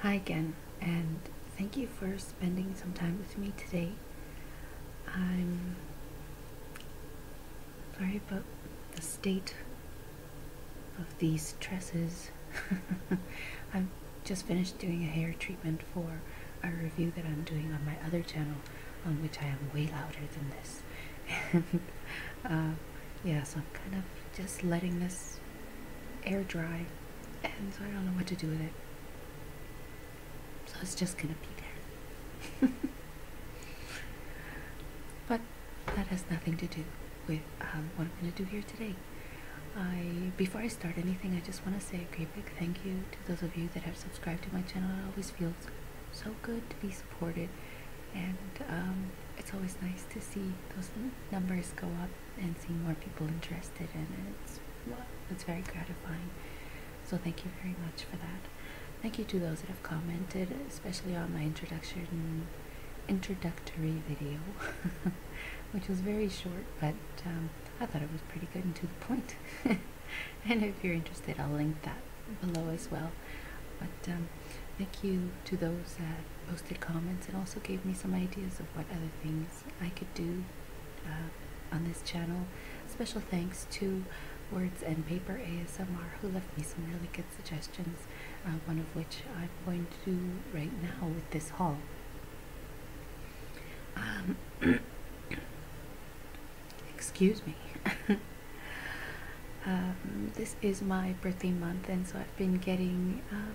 Hi again, and thank you for spending some time with me today. I'm sorry about the state of these tresses. I've just finished doing a hair treatment for a review that I'm doing on my other channel, on which I am way louder than this. and uh, yeah, so I'm kind of just letting this air dry, and so I don't know what to do with it. So it's just gonna be there. but that has nothing to do with um, what I'm gonna do here today. I before I start anything, I just want to say a great big thank you to those of you that have subscribed to my channel. It always feels so good to be supported, and um, it's always nice to see those numbers go up and see more people interested in it. It's, very gratifying. So thank you very much for that. Thank you to those that have commented, especially on my introduction introductory video, which was very short, but um, I thought it was pretty good and to the point. and if you're interested, I'll link that below as well. But um, thank you to those that posted comments and also gave me some ideas of what other things I could do uh, on this channel. Special thanks to Words and Paper ASMR who left me some really good suggestions, uh, one of which I'm going to do right now with this haul. Um, excuse me. Um, this is my birthday month and so I've been getting uh,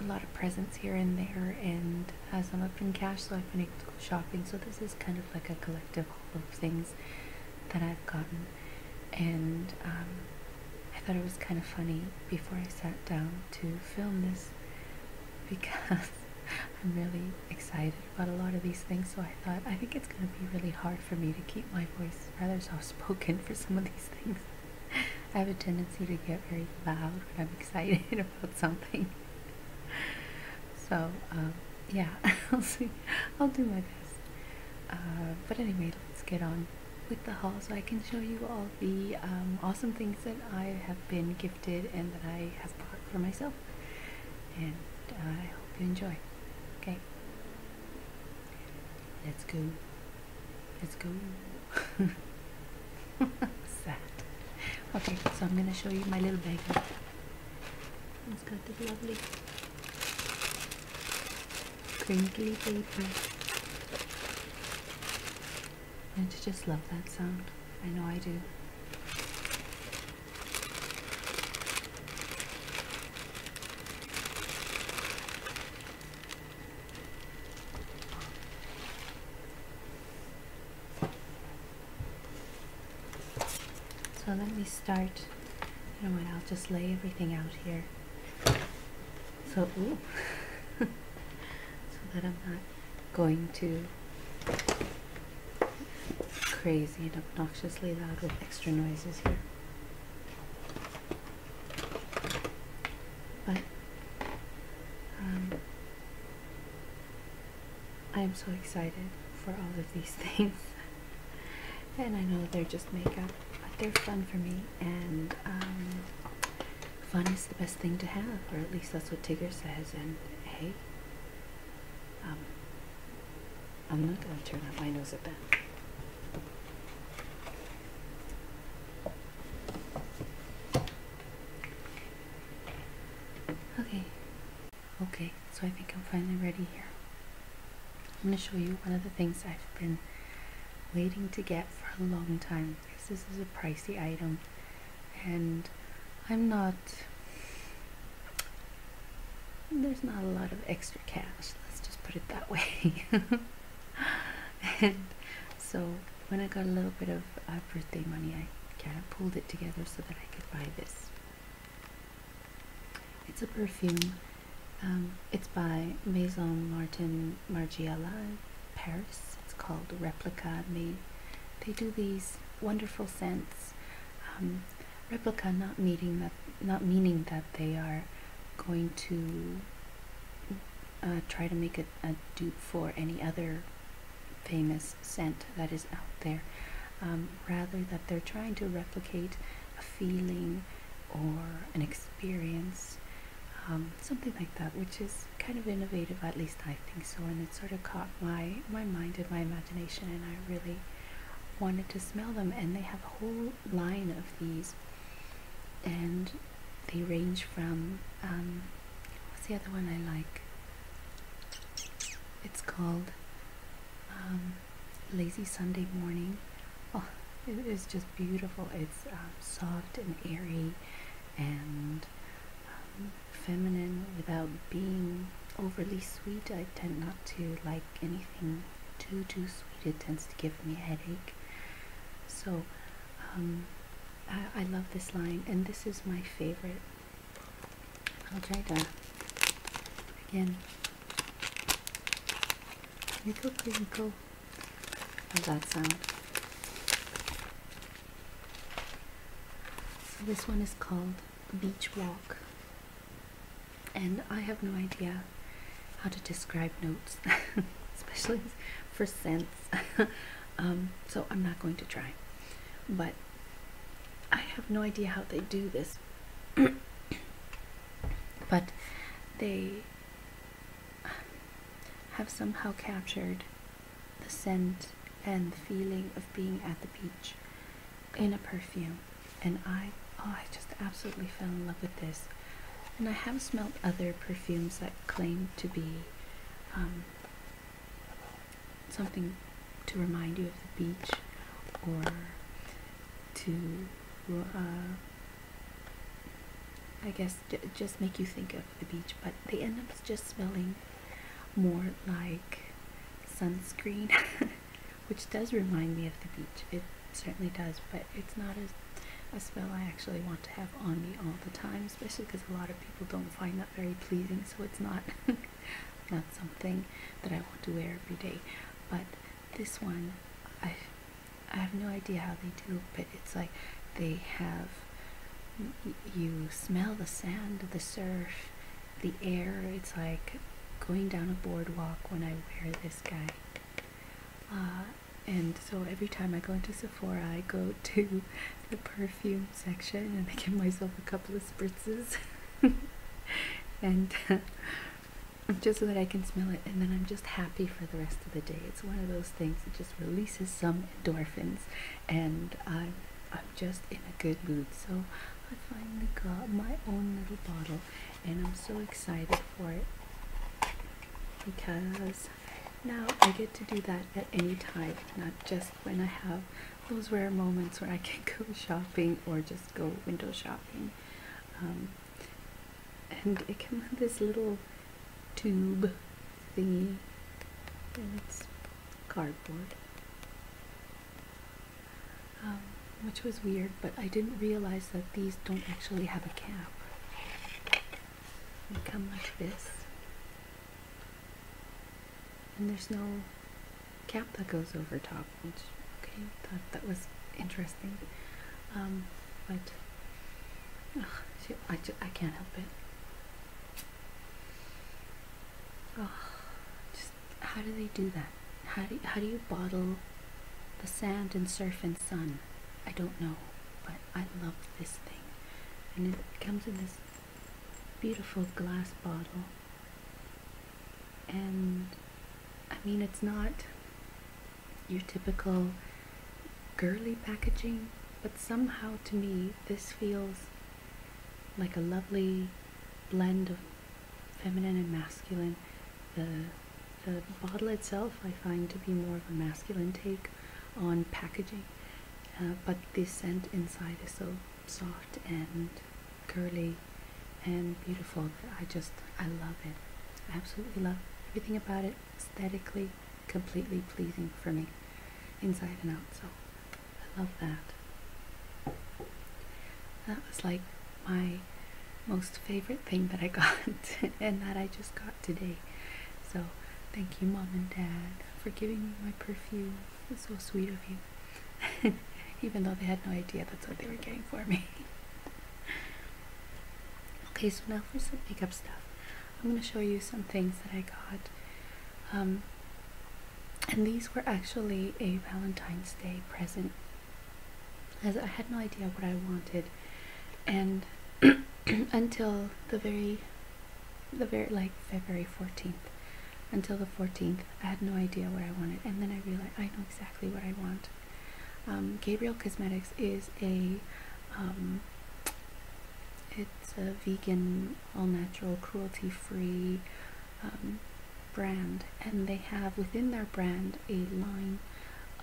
a lot of presents here and there, and uh, some up in cash, so I've been shopping. So this is kind of like a collective haul of things that I've gotten, and um, I thought it was kind of funny before I sat down to film this because I'm really excited about a lot of these things. So I thought I think it's going to be really hard for me to keep my voice rather soft spoken for some of these things. I have a tendency to get very loud when I'm excited about something. So, um, yeah, I'll do my best. Uh, but anyway, let's get on with the haul so I can show you all the um, awesome things that I have been gifted and that I have bought for myself. And I hope you enjoy. Okay. Let's go. Let's go. Sad. Okay, so I'm gonna show you my little bag. It's got this lovely crinkly paper. do you just love that sound? I know I do. So let me start, you know what, I'll just lay everything out here. So, so that I'm not going to crazy and obnoxiously loud with extra noises here. But um, I am so excited for all of these things. and I know they're just makeup, but they're fun for me. And um, fun is the best thing to have, or at least that's what Tigger says. And hey, um, I'm not going to turn up my nose at that. Okay, okay, so I think I'm finally ready here. I'm going to show you one of the things I've been waiting to get for a long time. Because this is a pricey item and I'm not, there's not a lot of extra cash, let's just put it that way. and so when I got a little bit of uh, birthday money, I kind of pulled it together so that I could buy this. It's a perfume. Um, it's by Maison Martin Margiela Paris. It's called Replica. And they, do these wonderful scents. Um, replica not meaning that not meaning that they are going to uh, try to make a, a dupe for any other famous scent that is out there. Um, rather that they're trying to replicate a feeling or an experience, um, something like that, which is kind of innovative, at least I think so, and it sort of caught my, my mind and my imagination, and I really wanted to smell them, and they have a whole line of these, and they range from um, what's the other one I like? It's called um, Lazy Sunday Morning. Oh, it is just beautiful. It's um, soft and airy and feminine without being overly sweet. I tend not to like anything too, too sweet. It tends to give me a headache. So um, I, love this line, and this is my favorite. I'll try to again. Crinkle, crinkle. How's that sound? So this one is called Beach Walk, and I have no idea how to describe notes, especially for scents. Um, so I'm not going to try. But I have no idea how they do this. but they um, have somehow captured the scent and the feeling of being at the beach in a perfume. And I, oh, I just absolutely fell in love with this. And I have smelled other perfumes that claim to be um, something to remind you of the beach or to, uh, I guess, just make you think of the beach, but they end up just smelling more like sunscreen, which does remind me of the beach. It certainly does, but it's not a, a spell I actually want to have on me all the time, especially because a lot of people don't find that very pleasing, so it's not, not something that I want to wear every day. But this one, I, I have no idea how they do but it's like they have, you smell the sand, the surf, the air, it's like going down a boardwalk when I wear this guy. Uh, and so every time I go into Sephora, I go to the perfume section and I give myself a couple of spritzes, and uh, just so that I can smell it, and then I'm just happy for the rest of the day. It's one of those things that just releases some endorphins, and I'm I'm just in a good mood. So I finally got my own little bottle, and I'm so excited for it because now I get to do that at any time, not just when I have those rare moments where I can go shopping or just go window shopping. Um, and it comes with this little tube thing, and it's cardboard, um, which was weird, but I didn't realize that these don't actually have a cap. You come like this. And there's no cap that goes over top, which, okay, thought that was interesting. Um, but, I, I can't help it. just, how do they do that? How do, how do you bottle the sand and surf and sun? I don't know, but I love this thing. And it comes in this beautiful glass bottle. And I mean, it's not your typical girly packaging, but somehow to me, this feels like a lovely blend of feminine and masculine. The, the bottle itself I find to be more of a masculine take on packaging, uh, but the scent inside is so soft and curly and beautiful that I just I love it. I absolutely love everything about it. Aesthetically, completely pleasing for me, inside and out. So I love that. That was like my most favorite thing that I got, and that I just got today. So thank you, Mom and Dad, for giving me my perfume. It's so sweet of you. Even though they had no idea that's what they were getting for me. okay, so now for some makeup stuff. I'm going to show you some things that I got. Um, and these were actually a Valentine's Day present. As I had no idea what I wanted and until the very the very like February 14th until the 14th I had no idea what I wanted and then I realized I know exactly what I want um, Gabriel Cosmetics is a um, it's a vegan all natural cruelty free um, brand and they have within their brand a line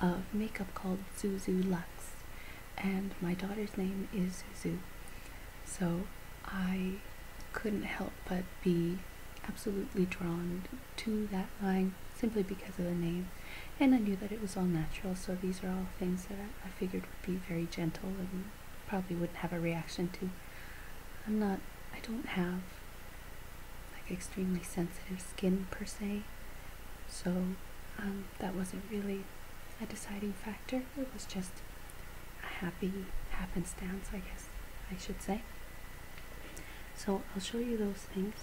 of makeup called Zuzu Lux and my daughter's name is Zuzu. So I couldn't help but be absolutely drawn to that line simply because of the name. And I knew that it was all natural, so these are all things that I, figured would be very gentle and probably wouldn't have a reaction to. I'm not, I don't have like extremely sensitive skin per se, so um, that wasn't really a deciding factor. It was just a happy happenstance, I guess I should say. So I'll show you those things.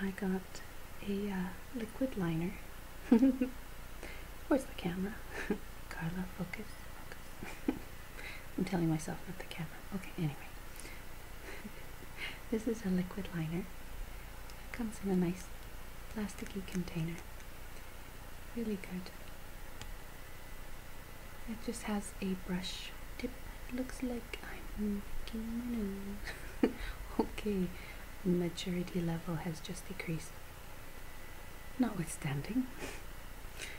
I got a uh, liquid liner. Where's the camera? Carla, focus, focus. I'm telling myself not the camera. Okay, anyway. this is a liquid liner it comes in a nice plasticky container. Really good. It just has a brush tip. It looks like I'm making my nose. okay, maturity level has just decreased. Notwithstanding,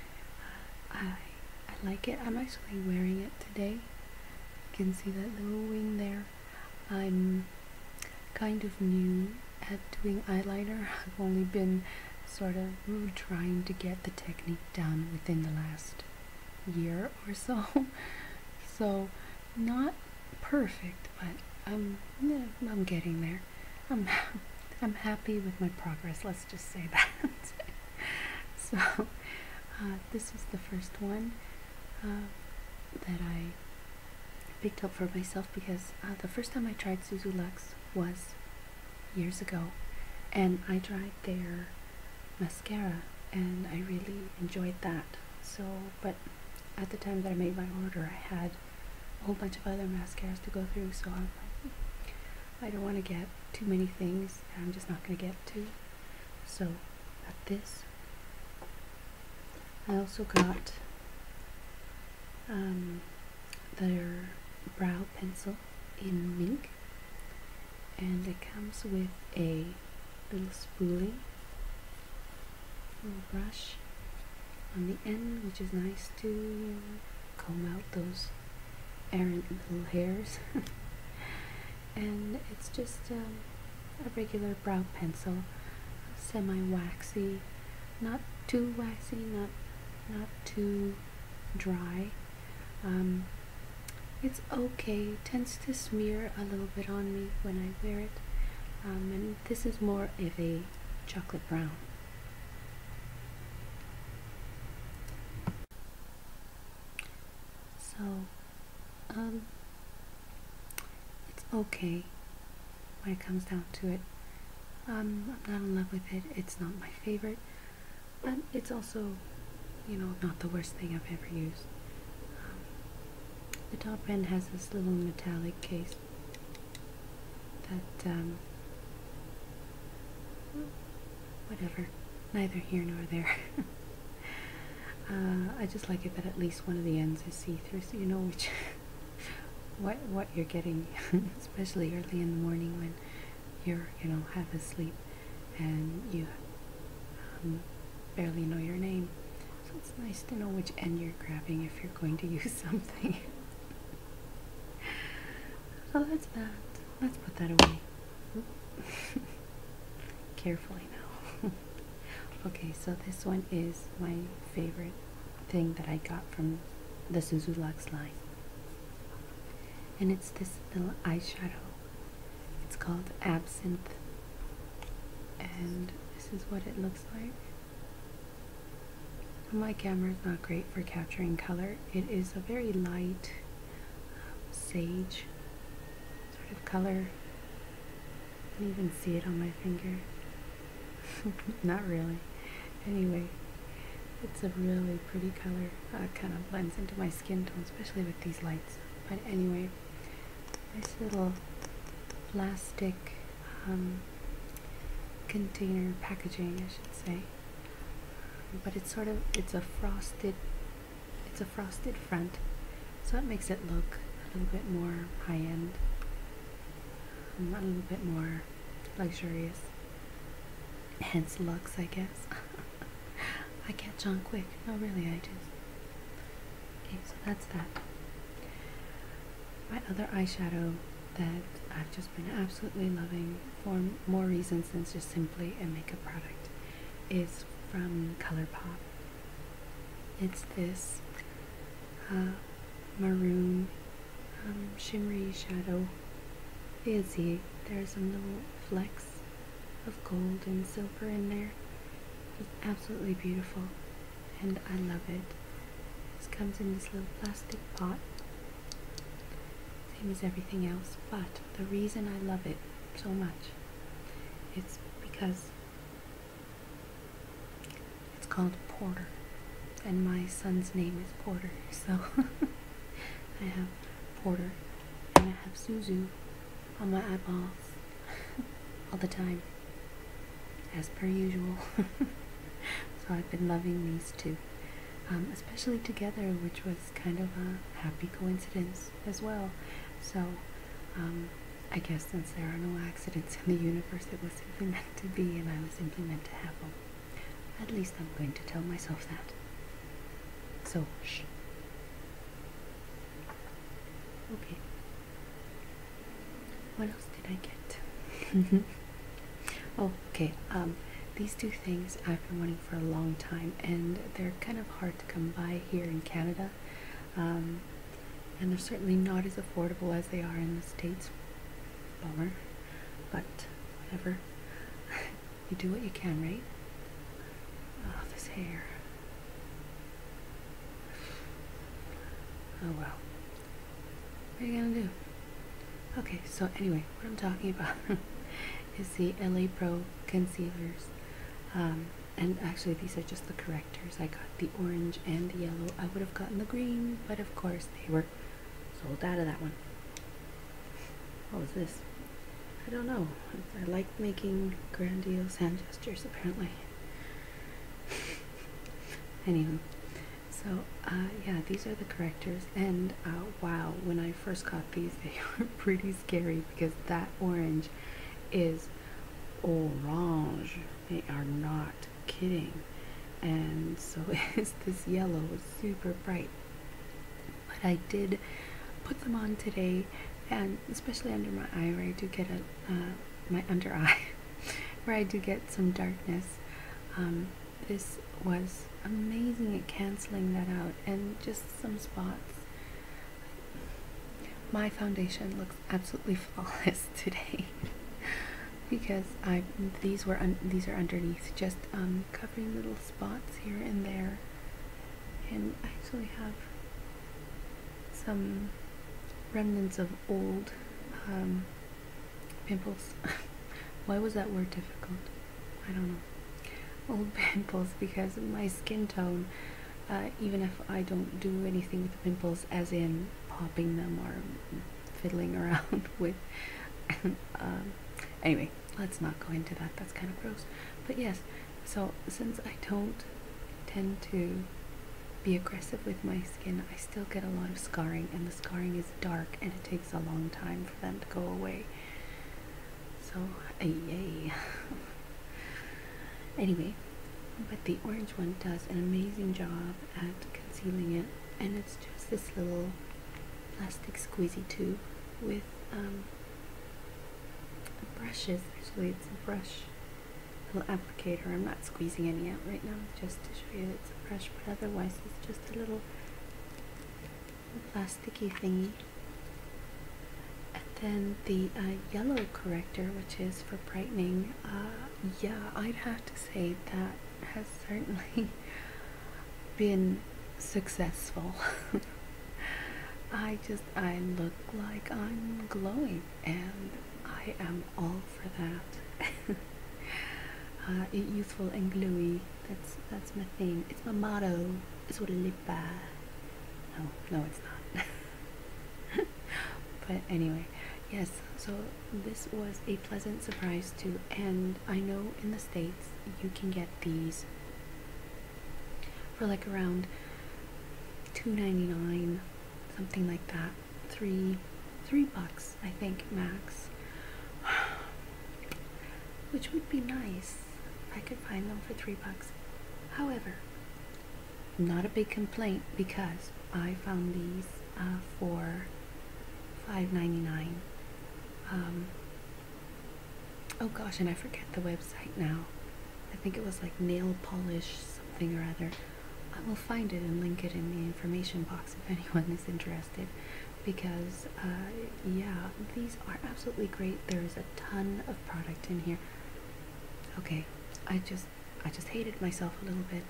I, I like it. I'm actually wearing it today. You can see that little wing there. I'm kind of new at doing eyeliner. I've only been sort of trying to get the technique down within the last year or so. so not perfect, but I'm I'm getting there. I'm I'm happy with my progress. Let's just say that. so uh, this was the first one uh, that I picked up for myself because uh, the first time I tried Suzu Lux was years ago and I tried their mascara and I really enjoyed that so but at the time that I made my order I had a whole bunch of other mascaras to go through so hmm, I don't want to get too many things I'm just not going to get to so got this I also got um, their brow pencil in mink and it comes with a little spoolie little brush on the end which is nice to comb out those errant little hairs and it's just um, a regular regular brow pencil, semi-waxy, not too waxy, not not too dry. Um, it's okay, tends to smear a little bit on me when I wear it. Um, and this is more of a chocolate brown. So, um, it's okay when it comes down to it. Um, I'm not in love with it. It's not my favorite, but it's also, you know, not the worst thing I've ever used. the top end has this little metallic case that, um, whatever, neither here nor there. Uh, I just like it that at least one of the ends is see-through, so you know which. what what you're getting, especially early in the morning when you're you know half asleep and you um, barely know your name. So it's nice to know which end you're grabbing if you're going to use something. Oh, that's bad. Let's put that away. carefully. okay, so this one is my favorite thing that I got from the Suzu Lux line. And it's this little eyeshadow. It's called Absinthe. And this is what it looks like. My camera is not great for capturing color. It is a very light um, sage sort of color. I can even see it on my finger. Not really. Anyway, it's a really pretty color. Uh, kind of blends into my skin tone, especially with these lights. But anyway, nice little plastic um, container packaging, I should say. But it's sort of it's a frosted, it's a frosted front, so it makes it look a little bit more high end, mm, a little bit more luxurious. Hence Lux, I guess. I catch on quick. No, really, I do. Okay, so that's that. My other eyeshadow that I've just been absolutely loving for more reasons than just simply a makeup product is from ColourPop. It's this uh, maroon, um, shimmery shadow. You can see there some little flecks of gold and silver in there. It's absolutely beautiful and I love it. It comes in this little plastic pot, same as everything else, but the reason I love it so much it's because it's called Porter, and my son's name is Porter, so I have Porter and I have Suzu on my eyeballs all the time, as per usual. so I've been loving these two, um, especially together, which was kind of a happy coincidence as well. So, um, I guess since there are no accidents in the universe, it was simply meant to be, and I was simply meant to have them. At least I'm going to tell myself that. So, shh. Okay. What else did I get? oh, okay. Um, these two things I've been wanting for a long time, and they're kind of hard to come by here in Canada. Um, and they're certainly not as affordable as they are in the States. Bummer, but whatever. you do what you can, right? Oh, this hair. Oh well. What are you gonna do? Okay, so anyway, what I'm talking about is the LA Pro concealers. Um, and actually, these are just the correctors. I got the orange and the yellow. I would have gotten the green, but of course they were sold out of that one. What was this? I don't know. I, like making grandiose hand gestures apparently. anyway, so uh, yeah, these are the correctors, and uh, wow, when I first got these, they were pretty scary because that orange is orange they are not kidding. And so it's this yellow, it's super bright. But I did put them on today, and especially under my eye where I do get a, uh, my under eye, where I do get some darkness. Um, this was amazing at canceling that out and just some spots. My foundation looks absolutely flawless today because I these were these are underneath just um, covering little spots here and there and I actually have some remnants of old um, pimples why was that word difficult I don't know old pimples because my skin tone uh, even if I don't do anything pimples as in popping them or fiddling around with. Um, anyway, let's not go into that. That's kind of gross. But yes, so since I don't tend to be aggressive with my skin, I still get a lot of scarring, and the scarring is dark, and it takes a long time for them to go away. So, yay. anyway, but the orange one does an amazing job at concealing it and it's just this little plastic squeezy tube with um, brushes actually it's a brush little applicator I'm not squeezing any out right now just to show you it's a brush but otherwise it's just a little plasticky thingy and then the uh, yellow corrector which is for brightening uh, yeah, I'd have to say that has certainly been successful. I just, I look like I'm glowing, and I am all for that. Uh, youthful and glowy, that's, that's my thing. It's my motto, it's what I live by. No, no, it's not. but anyway, yes, so this was a pleasant surprise too. And I know in the States you can get these for like around two ninety nine, something like that. Three, three bucks, I think, max. Which would be nice if I could find them for three bucks. However, not a big complaint because I found these uh, for $5.99. Um, oh gosh, and I forget the website now. I think it was like nail polish something or other. I will find it and link it in the information box if anyone is interested. Because, uh, yeah, these are absolutely great. There is a ton of product in here. Okay, I just I just hated myself a little bit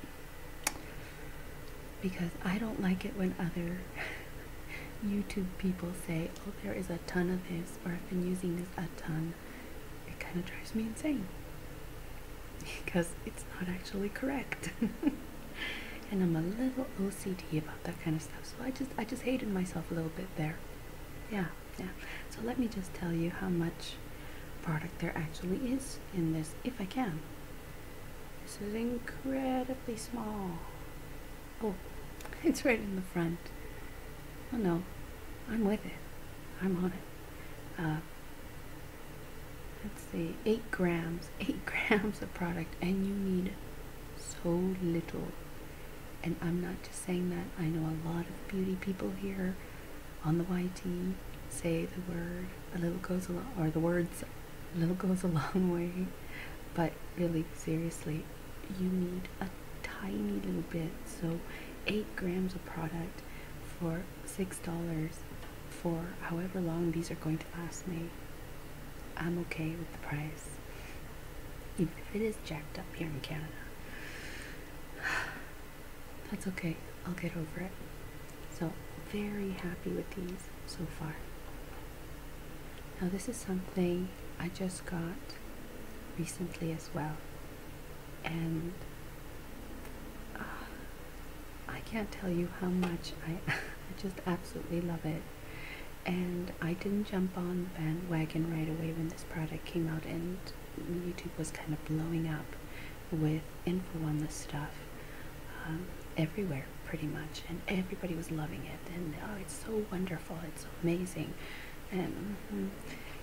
because I don't like it when other YouTube people say, "Oh, there is a ton of this," or "I've been using this a ton." It kind of drives me insane because it's not actually correct. and I'm a little OCD about that kind of stuff. So I just I just hated myself a little bit there. Yeah, yeah. So let me just tell you how much product there actually is in this, if I can. This is incredibly small. Oh, it's right in the front. Oh no, I'm with it. I'm on it. Uh, let's see, 8 grams, 8 grams of product, and you need so little. And I'm not just saying that, I know a lot of beauty people here on the YT, say the word, a little goes along, or the words, a little goes a long way. But really, seriously, you need a tiny little bit. So, 8 grams of product for $6 for however long these are going to last me. I'm okay with the price. Even if it is jacked up here in Canada. That's okay. I'll get over it. So, very happy with these so far. Now, this is something I just got recently as well. And uh, I can't tell you how much I, I just absolutely love it. And I didn't jump on the bandwagon right away when this product came out and YouTube was kind of blowing up with info on this stuff um, everywhere pretty much and everybody was loving it and oh it's so wonderful it's amazing and mm-hmm,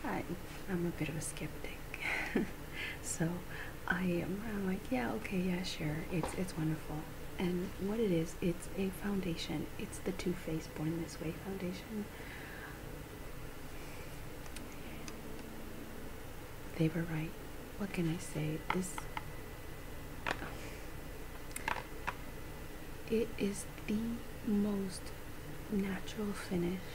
I, am a bit of a skeptic so i am I'm like yeah okay yeah sure it's it's wonderful and what it is it's a foundation it's the two Faced born this way foundation they were right what can I say? This it is the most natural finish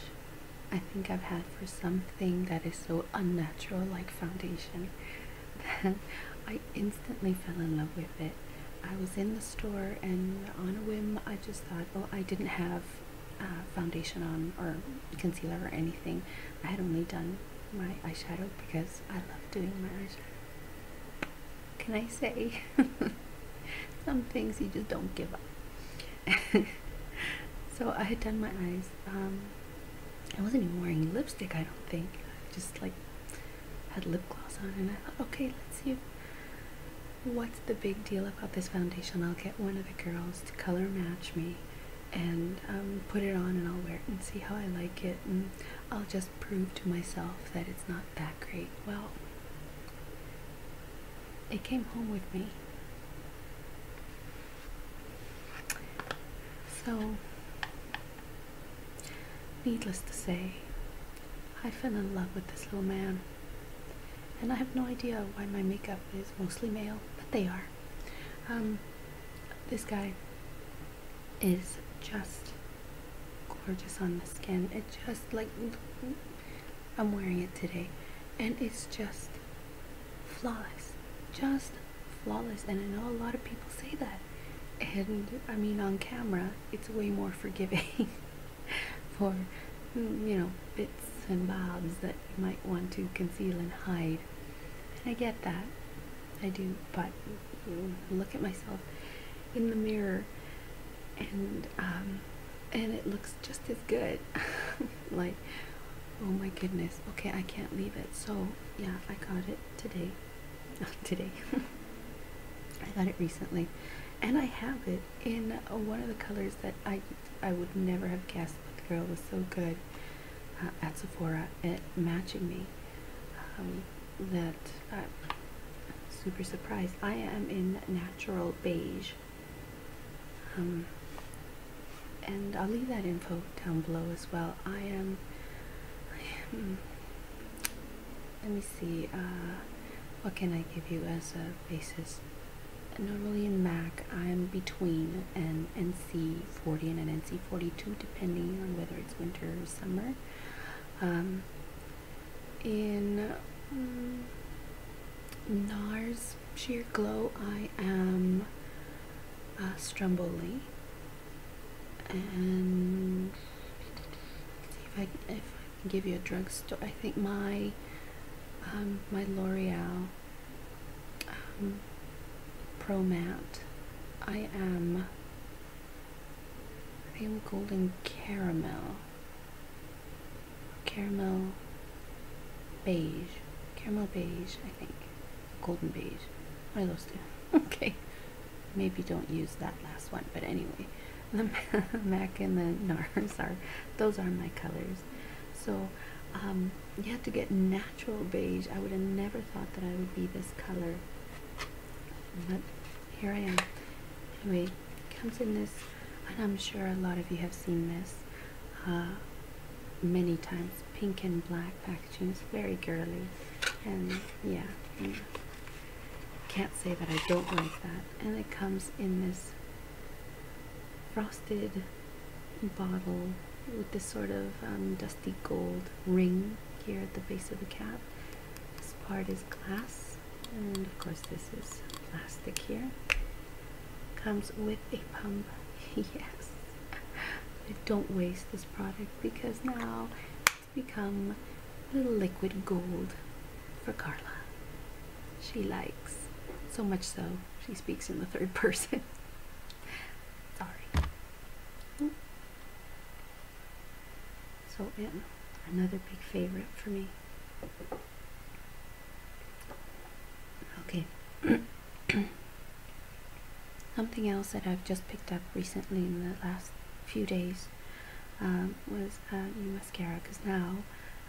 I think I've had for something that is so unnatural like foundation I instantly fell in love with it. I was in the store and on a whim I just thought, "Oh, I didn't have uh, foundation on or concealer or anything. I had only done my eyeshadow because I love doing my eyeshadow. Can I say? Some things you just don't give up. so I had done my eyes. Um, I wasn't even wearing lipstick, I don't think. just like had lip gloss on and I thought, okay, let's see what's the big deal about this foundation. I'll get one of the girls to color match me and um, put it on and I'll wear it and see how I like it and I'll just prove to myself that it's not that great. Well, it came home with me. So, needless to say, I fell in love with this little man. And I have no idea why my makeup is mostly male, but they are. Um, this guy is just gorgeous on the skin. It just like I'm wearing it today, and it's just flawless, just flawless. And I know a lot of people say that, and I mean on camera, it's way more forgiving for you know bits and bobs that you might want to conceal and hide I get that. I do, but look at myself in the mirror and um and it looks just as good. like oh my goodness. Okay, I can't leave it. So, yeah, I got it today. Not today. I got it recently. And I have it in one of the colors that I I would never have guessed, but the girl was so good. Uh, at Sephora at matching me. Um, that I'm uh, super surprised. I am in natural beige. Um, and I'll leave that info down below as well. I am, let me see, uh, what can I give you as a basis? Normally in MAC, I'm between N and NC40 and an NC42 depending on whether it's winter or summer. Um, in mm, NARS Sheer Glow I am uh, Stromboli and if I, can give you a drugstore. I think my um, my L'Oreal um, Pro Matte. I am. I am golden caramel. Caramel beige. Caramel beige, I think. Golden beige. One of those two. okay. Maybe don't use that last one, but anyway. The MAC and the NARS are, those are my colors. So, um, you have to get natural beige. I would have never thought that I would be this color. But here I am. Anyway, comes in this, and I'm sure a lot of you have seen this uh, many times. Pink and black packaging. It's very girly. And yeah, mm. can't say that I don't like that. And it comes in this frosted bottle with this sort of um, dusty gold ring here at the base of the cap. This part is glass, and of course, this is plastic here. Comes with a pump, yes. But don't waste this product because now it's become little liquid gold for Carla. She likes so much so she speaks in the third person. Sorry. So, yeah, another big favorite for me. Okay. Something else that I've just picked up recently in the last few days um, was uh, new mascara because now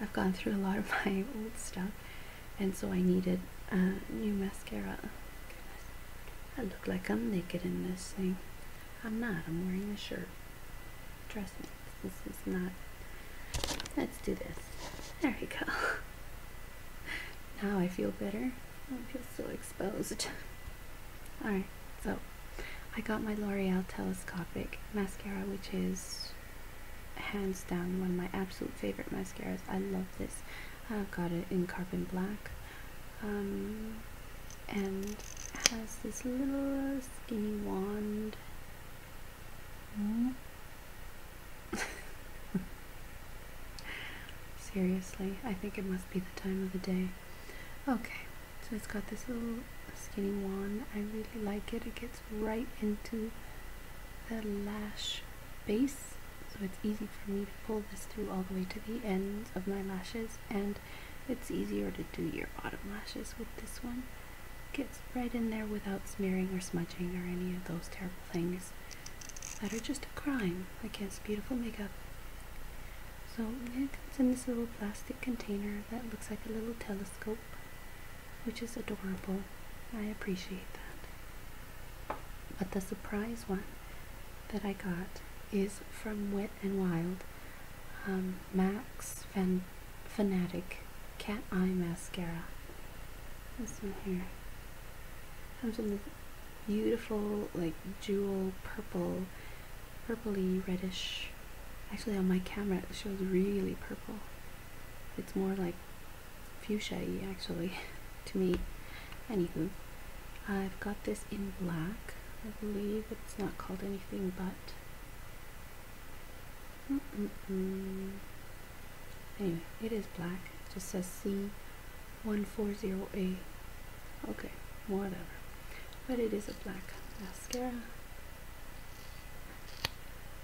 I've gone through a lot of my old stuff and so I needed a new mascara. I look like I'm naked in this thing. I'm not. I'm wearing a shirt. Trust me. This is not. Let's do this. There we go. now I feel better. I feel so exposed. Alright, so I got my L'Oreal Telescopic Mascara, which is hands down one of my absolute favorite mascaras. I love this. I've got it in carbon black um, and has this little skinny wand seriously I think it must be the time of the day okay so it's got this little skinny wand I really like it it gets right into the lash base so it's easy for me to pull this through all the way to the ends of my lashes and it's easier to do your bottom lashes with this one gets right in there without smearing or smudging or any of those terrible things that are just a crime against beautiful makeup so it comes in this little plastic container that looks like a little telescope which is adorable I appreciate that but the surprise one that I got is from Wet and Wild um, Max Fan Fanatic Cat Eye Mascara. This one here comes in this beautiful, like jewel purple, purpley reddish. Actually, on my camera, it shows really purple. It's more like fuchsia actually to me. Anywho, I've got this in black. I believe it's not called anything but. Anyway, it is black. It just says C140A. Okay, whatever. But it is a black mascara.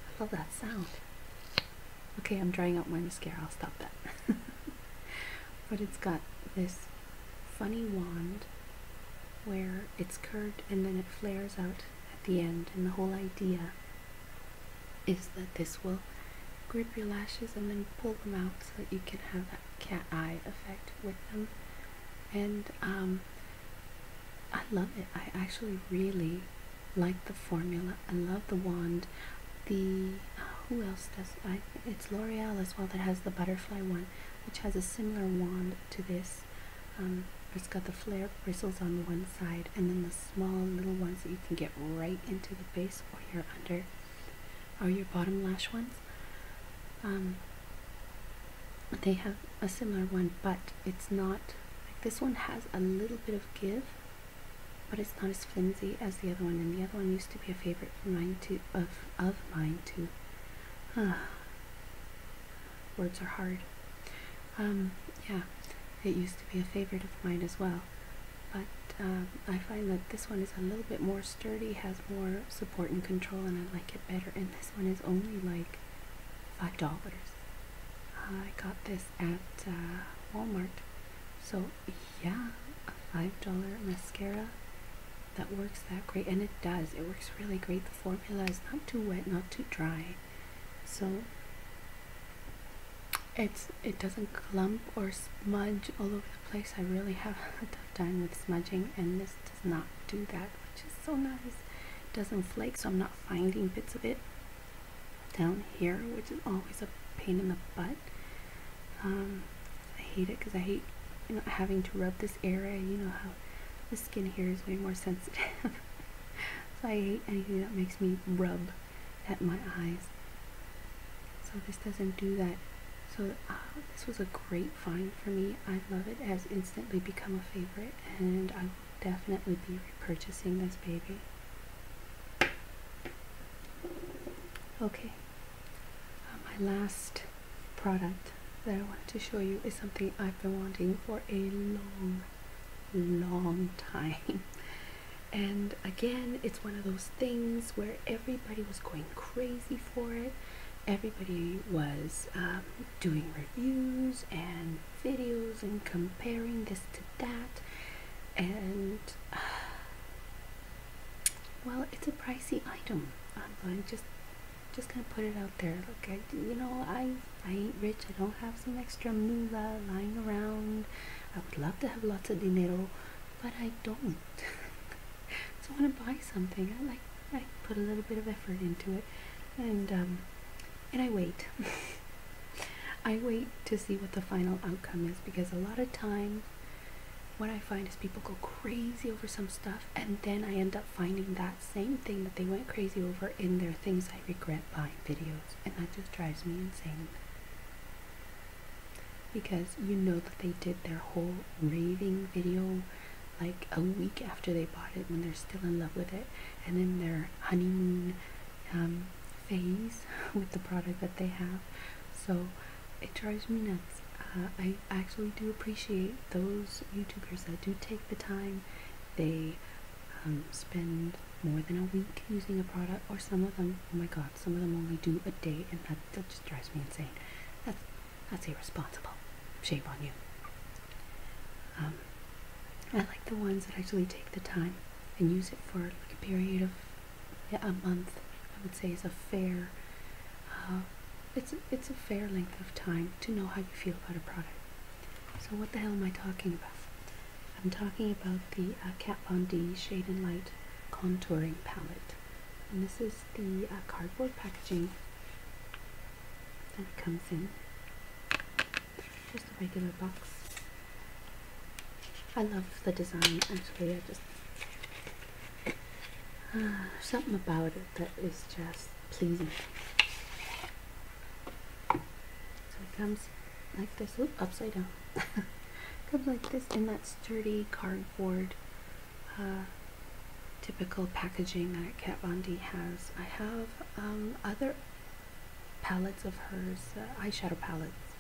I love that sound. Okay, I'm drying out my mascara. I'll stop that. but it's got this funny wand where it's curved and then it flares out at the end. And the whole idea is that this will grip your lashes and then pull them out so that you can have that cat eye effect with them. And um, I love it. I actually really like the formula I love the wand. The who else does I? It's L'Oreal as well that has the butterfly one, which has a similar wand to this. Um, it's got the flare bristles on one side, and then the small little ones that you can get right into the base or your under, or your bottom lash ones. Um, they have a similar one, but it's not. Like this one has a little bit of give, but it's not as flimsy as the other one, and the other one used to be a favorite of mine too. Of of mine too. Ah, words are hard. Um, yeah, it used to be a favorite of mine as well, but um, I find that this one is a little bit more sturdy, has more support and control, and I like it better. And this one is only like five dollars. I got this at uh, Walmart, so yeah, a $5 mascara that works that great. And it does. It works really great. The formula is not too wet, not too dry. So it's it doesn't clump or smudge all over the place. I really have a tough time with smudging and this does not do that, which is so nice. It doesn't flake, so I'm not finding bits of it down here, which is always a pain in the butt. Um, I hate it because I hate you having to rub this area. You know how the skin here is way more sensitive. so I hate anything that makes me rub at my eyes. So this doesn't do that. So uh, this was a great find for me. I love it. it. Has instantly become a favorite, and I will definitely be repurchasing this baby. Okay, uh, my last product that I wanted to show you is something I've been wanting for a long, long time. And again, it's one of those things where everybody was going crazy for it. Everybody was um, doing reviews and videos and comparing this to that. And uh, well, it's a pricey item. I'm going just just gonna put it out there. Look, you know, I I ain't rich. I don't have some extra moolah lying around. I would love to have lots of dinero, but I don't. so I when to buy something, I like I put a little bit of effort into it, and um, and I wait. I wait to see what the final outcome is because a lot of times what I find is people go crazy over some stuff, and then I end up finding that same thing that they went crazy over in their things I regret buying videos, and that just drives me insane. Because you know that they did their whole raving video like a week after they bought it when they're still in love with it, and then their honeymoon um, phase with the product that they have. So it drives me nuts. Uh, I actually do appreciate those YouTubers that do take the time. They um, spend more than a week using a product, or some of them, oh my god, some of them only do a day, and that, that just drives me insane. That's, that's irresponsible. Shame on you. Um, I like the ones that actually take the time and use it for like a period of a month I would say is a fair uh, it's it's a fair length of time to know how you feel about a product. So what the hell am I talking about? I'm talking about the uh, Kat Von D Shade and Light Contouring Palette. And this is the uh, cardboard packaging that comes in. Just a regular box. I love the design actually, I just, uh, something about it that is just pleasing. So it comes like this, Oop, upside down. comes like this in that sturdy cardboard uh, typical packaging that Kat Von D has. I have um, other palettes of hers, uh, eyeshadow palettes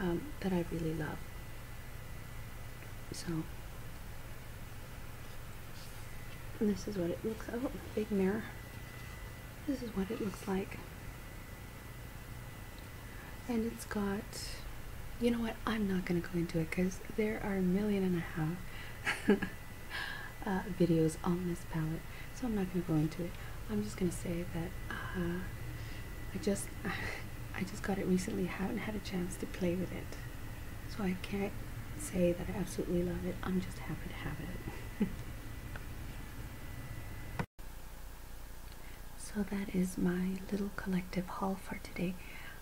um, that I really love. So, this is what it looks like. Oh, big mirror. This is what it looks like. And it's got, you know what, I'm not going to go into it because there are a million and a half uh, videos on this palette. So I'm not going to go into it. I'm just going to say that uh, I just I just got it recently. I haven't had a chance to play with it, so I can't say that I absolutely love it. I'm just happy to have it. so that is my little collective haul for today.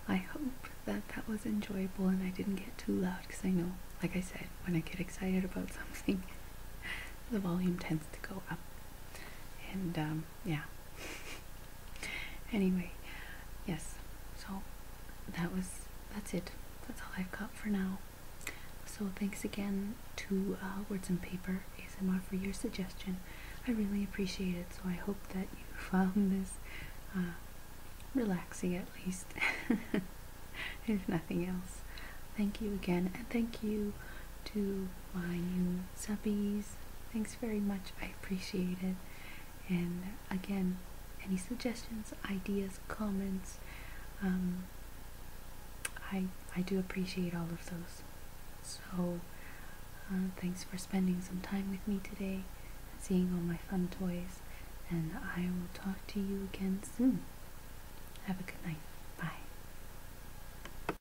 I hope that that was enjoyable and I didn't get too loud because I know, like I said, when I get excited about something, the volume tends to go up. And um, yeah. anyway, yes. So that was that's it. That's all I've got for now. So thanks again to uh, Words and Paper ASMR for your suggestion. I really appreciate it. So I hope that you found this uh, relaxing at least, if nothing else. Thank you again, and thank you to my new Thanks very much. I appreciate it. And again, any suggestions, ideas, comments, um, I I do appreciate all of those. So uh, thanks for spending some time with me today, seeing all my fun toys, and I will talk to you again soon. Have a good night. Bye.